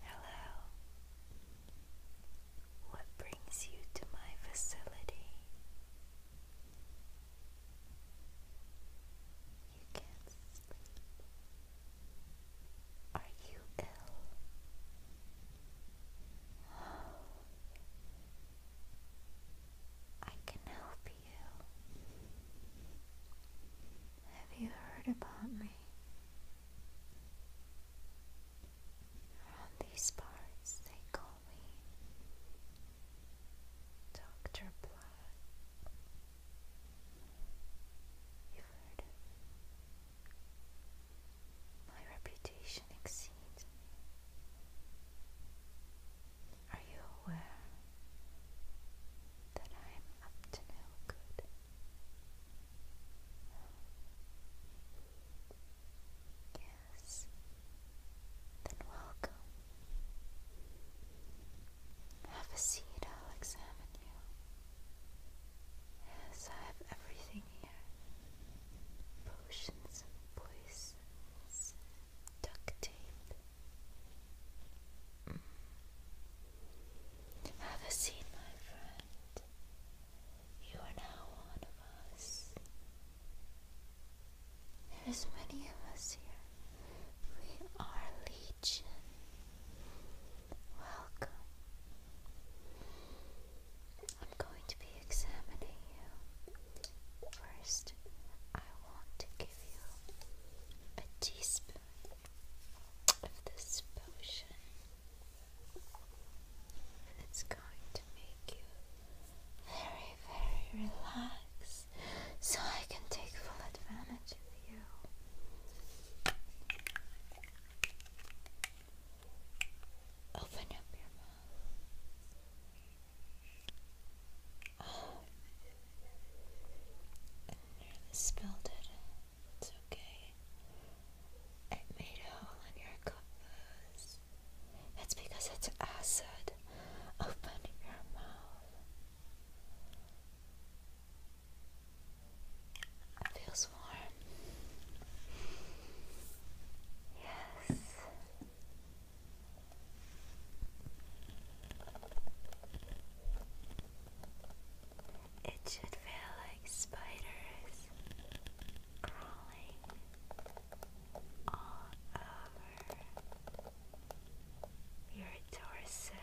Hello. What brings you to my facility? You can't Are you ill? I can help you. Have you heard about me? Around these parts, they call me Dr. Blood. You've heard My reputation exceeds me. Are you aware that I am up to no good? Yes. Then welcome. Have a seat, I'll examine you. Yes, I have everything here potions poisons have a seat, my friend. You are now one of us. There's many of us here. We are legion. Welcome. I'm going to be examining you. First, I want to give you a teaspoon of this potion. It's going to make you very, very relaxed so I can take full advantage of you. Open up your mouth nearly oh. spilled it. It's okay. It made a hole in your clothes. That's because it's acid. Open your mouth. feels warm. Yes. It should feel like spiders crawling all over your torso.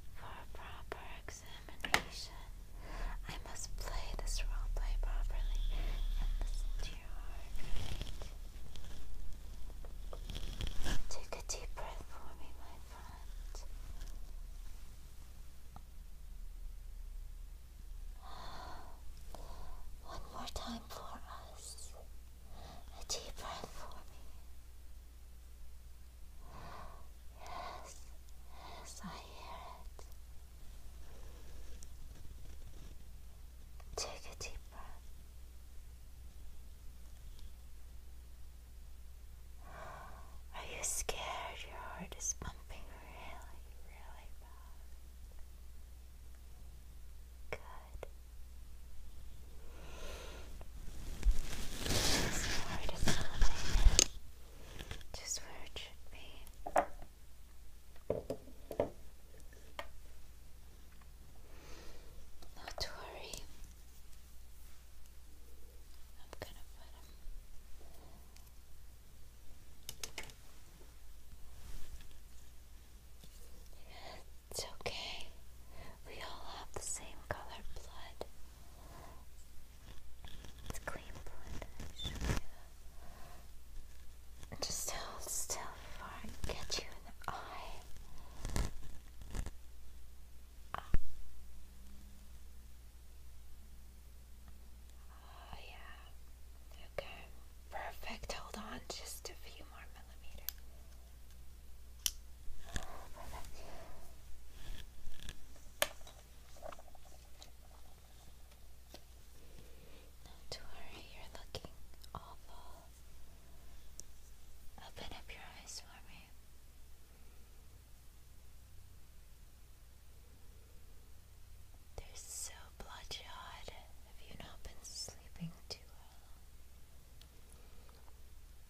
For proper examination, I must play this role play properly and listen to your heart. Take a deep breath for me, my friend. One more time for us. A deep breath for me. Yes, yes, I hear it. Take a deep breath. Are you scared? Your heart is pumping really, really fast. Good. Just where it should be. Not to worry. I'm gonna put him it's okay. We all have the same color blood. It's clean blood. i Just hold still before get you in the eye. Ah. Oh yeah. Okay. Perfect. Hold on just a few more millimeters. Oh, Not worry, you're looking awful. Open up your eyes for me. They're so bloodshot. Have you not been sleeping too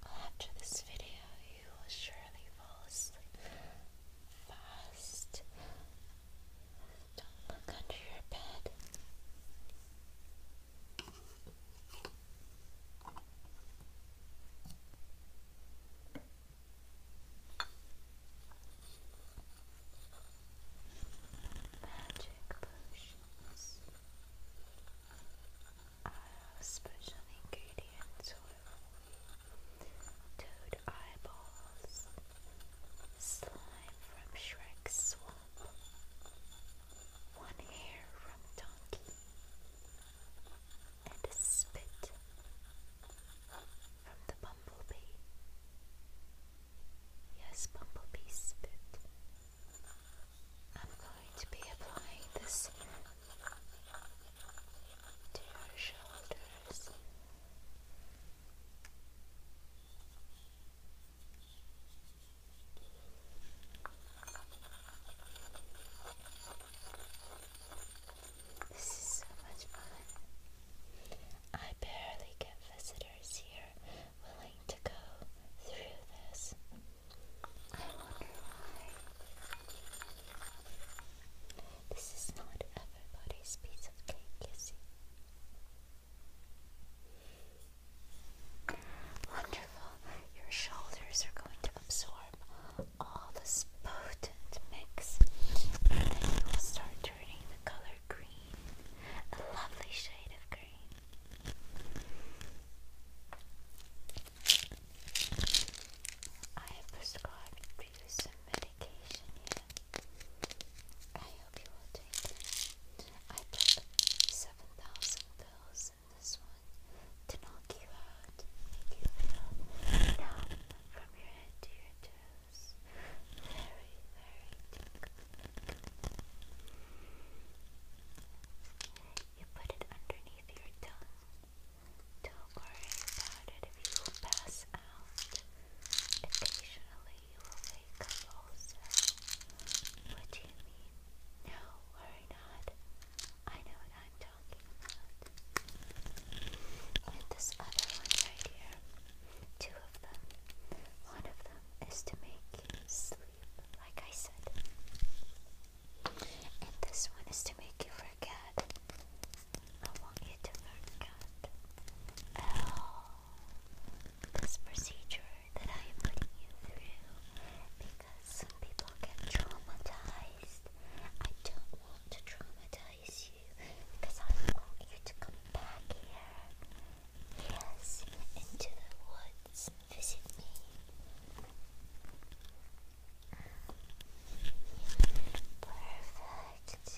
well? After this video, you will surely fall asleep fast. Don't look under your bed. Magic potions are special ingredients toad eyeballs, slime from Shrek's swamp, one hair from donkey, and a spit from the bumblebee. Yes, bumblebee spit. I'm going to be applying this to your shoulders. This is so much fun. I barely get visitors here willing to go through this. I wonder why. This is not everybody's piece of cake, you Wonderful. Your shoulders are going to absorb all this potent mix, and then you will start turning the color green, a lovely shade of green. I have prescribed you some medication here. I hope you will take I took 7,000 pills also this one to knock you out, make you feel numb from your head to your toes. Very, very tingly. You put it underneath your tongue. Don't worry about it if you pass out. Occasionally you will wake up also. What do you mean? No worries or not, I know what I'm talking about. And this other one right here, two of them. One of them is to make you sleep, like I said. And this one is to make you forget. I want you to forget oh this procedure that I am putting you through because some people get traumatized. I don't want to traumatize you because I want you to come back here. Yes, into the woods visit me. Perfect.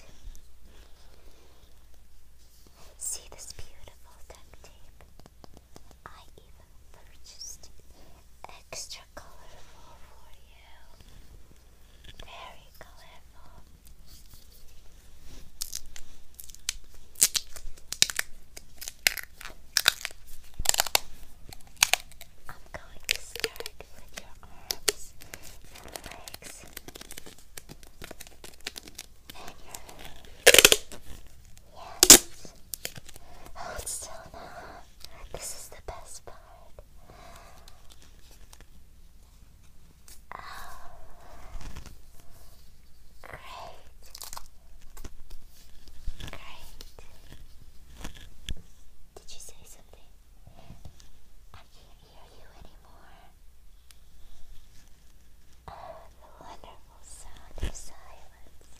See this beautiful duct tape? I even purchased extra colorful for you. Very colorful. I'm going to start with your arms and legs. Yes. Hold still now. This is the best part. Oh. Great. Great. Did you say something? I can't hear you anymore. Oh, the wonderful sound of silence.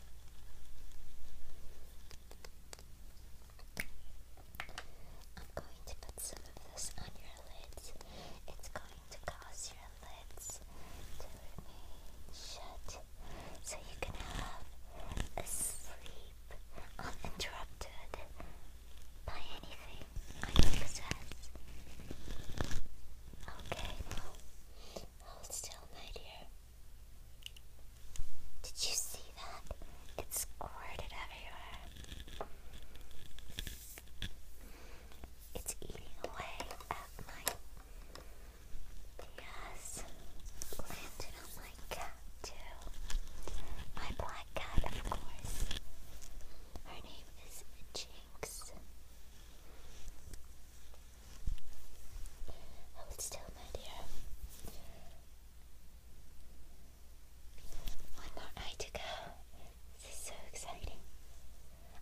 I'm going to put some of this on your lids. It's going to cause your lids to remain shut so you can have a sleep uninterrupted buy anything I possess. Okay, now hold still, my dear. Did you see that? It squirted everywhere. It's eating away at my yes, landed on my cat too. My black cat, of course. Her name is Jinx. Hold still, my dear. One more night to go. This is so exciting.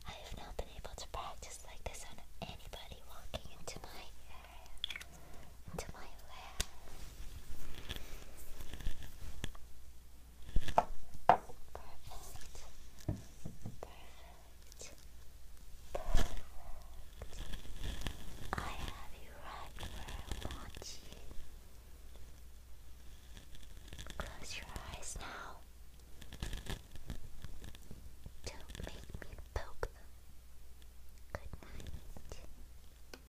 I have not been able to practice like this on anybody walking into my into my lab. Perfect. Perfect. Perfect. I have you right where I want you. Close your eyes now. Don't make me poke them. Good night.